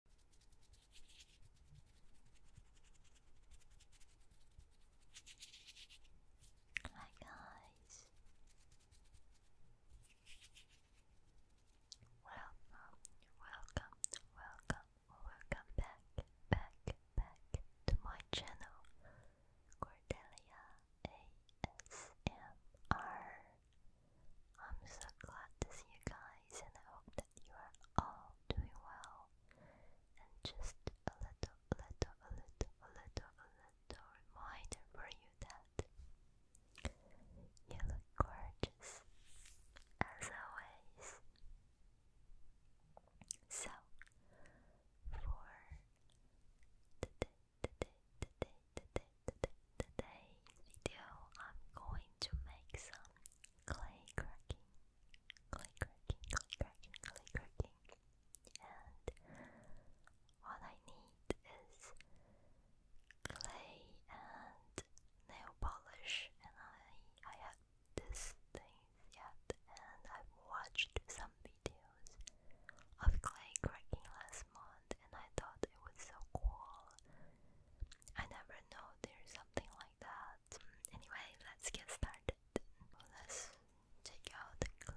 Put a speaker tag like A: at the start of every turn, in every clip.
A: Hi guys, welcome, welcome, welcome, welcome back, back, back to my channel, Cordelia ASMR. I'm so glad to see you guys and I hope that you are all doing well and just a little, a little, a little, a little, a little reminder for you that you look gorgeous as always so for today, today, today, today, today, today's video I'm going to make some clay cracking, clay cracking, clay cracking, clay cracking. And what I need is clay and nail polish and I I have these things yet and I've watched some videos of clay cracking last month I thought it was so cool. I never know there's something like that. Anyway, let's get started. Let's take out the clay.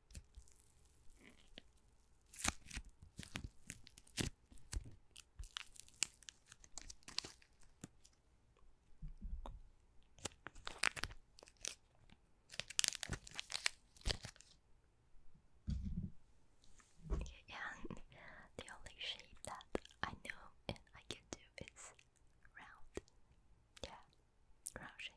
A: And the only shape that I know and I can do is round. Yeah, round shape.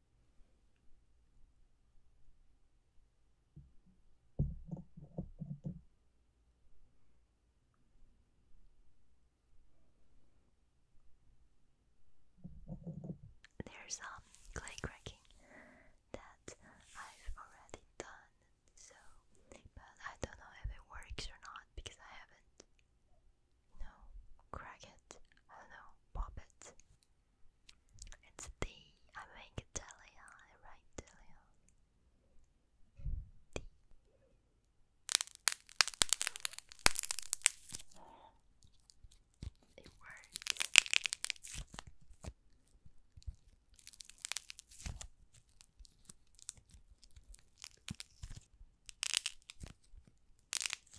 B: There's some um, clay cracking that I've already done, so but I don't know if it works or not because I haven't. You no, crack it. I don't know, pop it. It's the I make Delia, I write Dali. D. It works.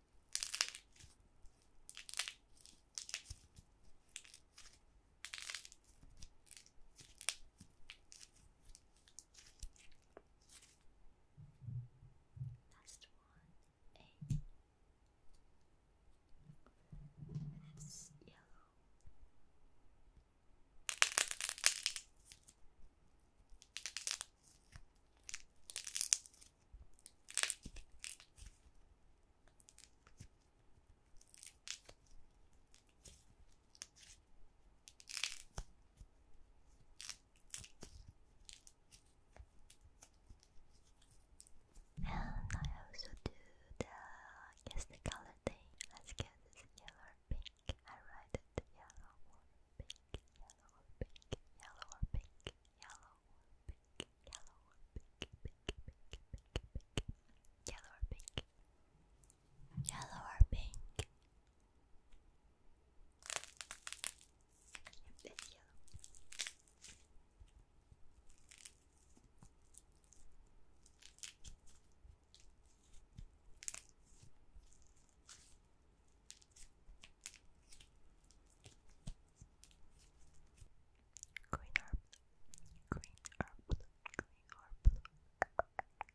B: Last one, A. And it's yellow. And I also do the guess the color thing. Let's get yellow pink. I write it yellow or pink
C: yellow or pink, yellow or pink, yellow or pink, yellow or pink, pink, pink, pink, pink, yellow or pink, yellow or pink. Green or blue, green or blue,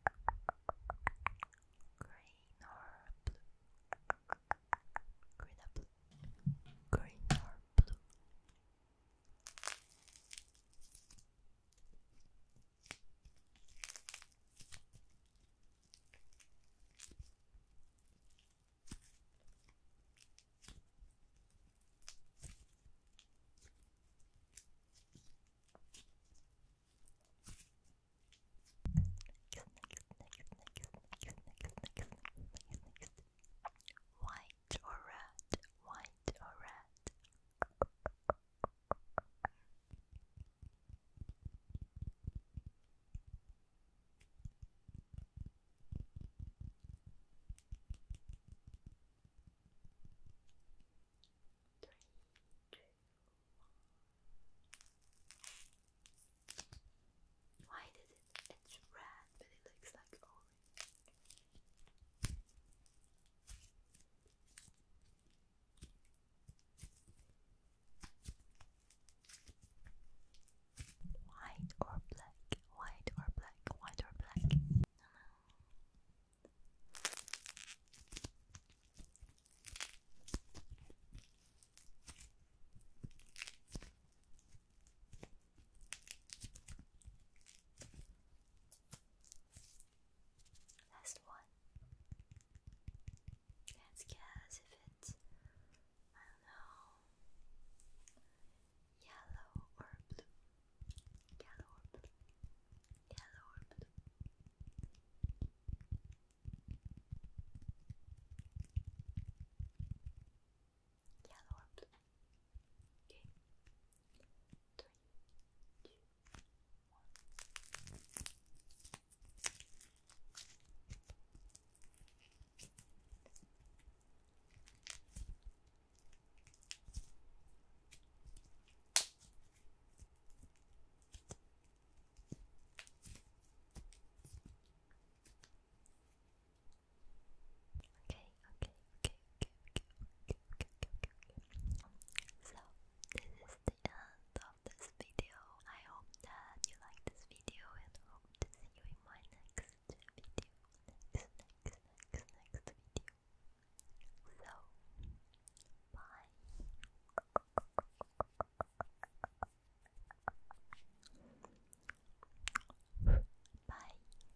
C: green or blue, green or blue, green or blue, green or blue. White or red, white or red. Why did it? It's red, but it looks like orange. White or black? White or black? White or black? Last one. Let's guess if it's, I don't know, yellow or blue. Yellow or blue. Yellow or blue. Yellow or blue. Okay. Three, two, one. Okay, okay, okay, okay, okay, okay, So, this is the end of this video. I hope that you like this video and hope to see you in my next video. Next, next, next, next video. So, bye. Bye.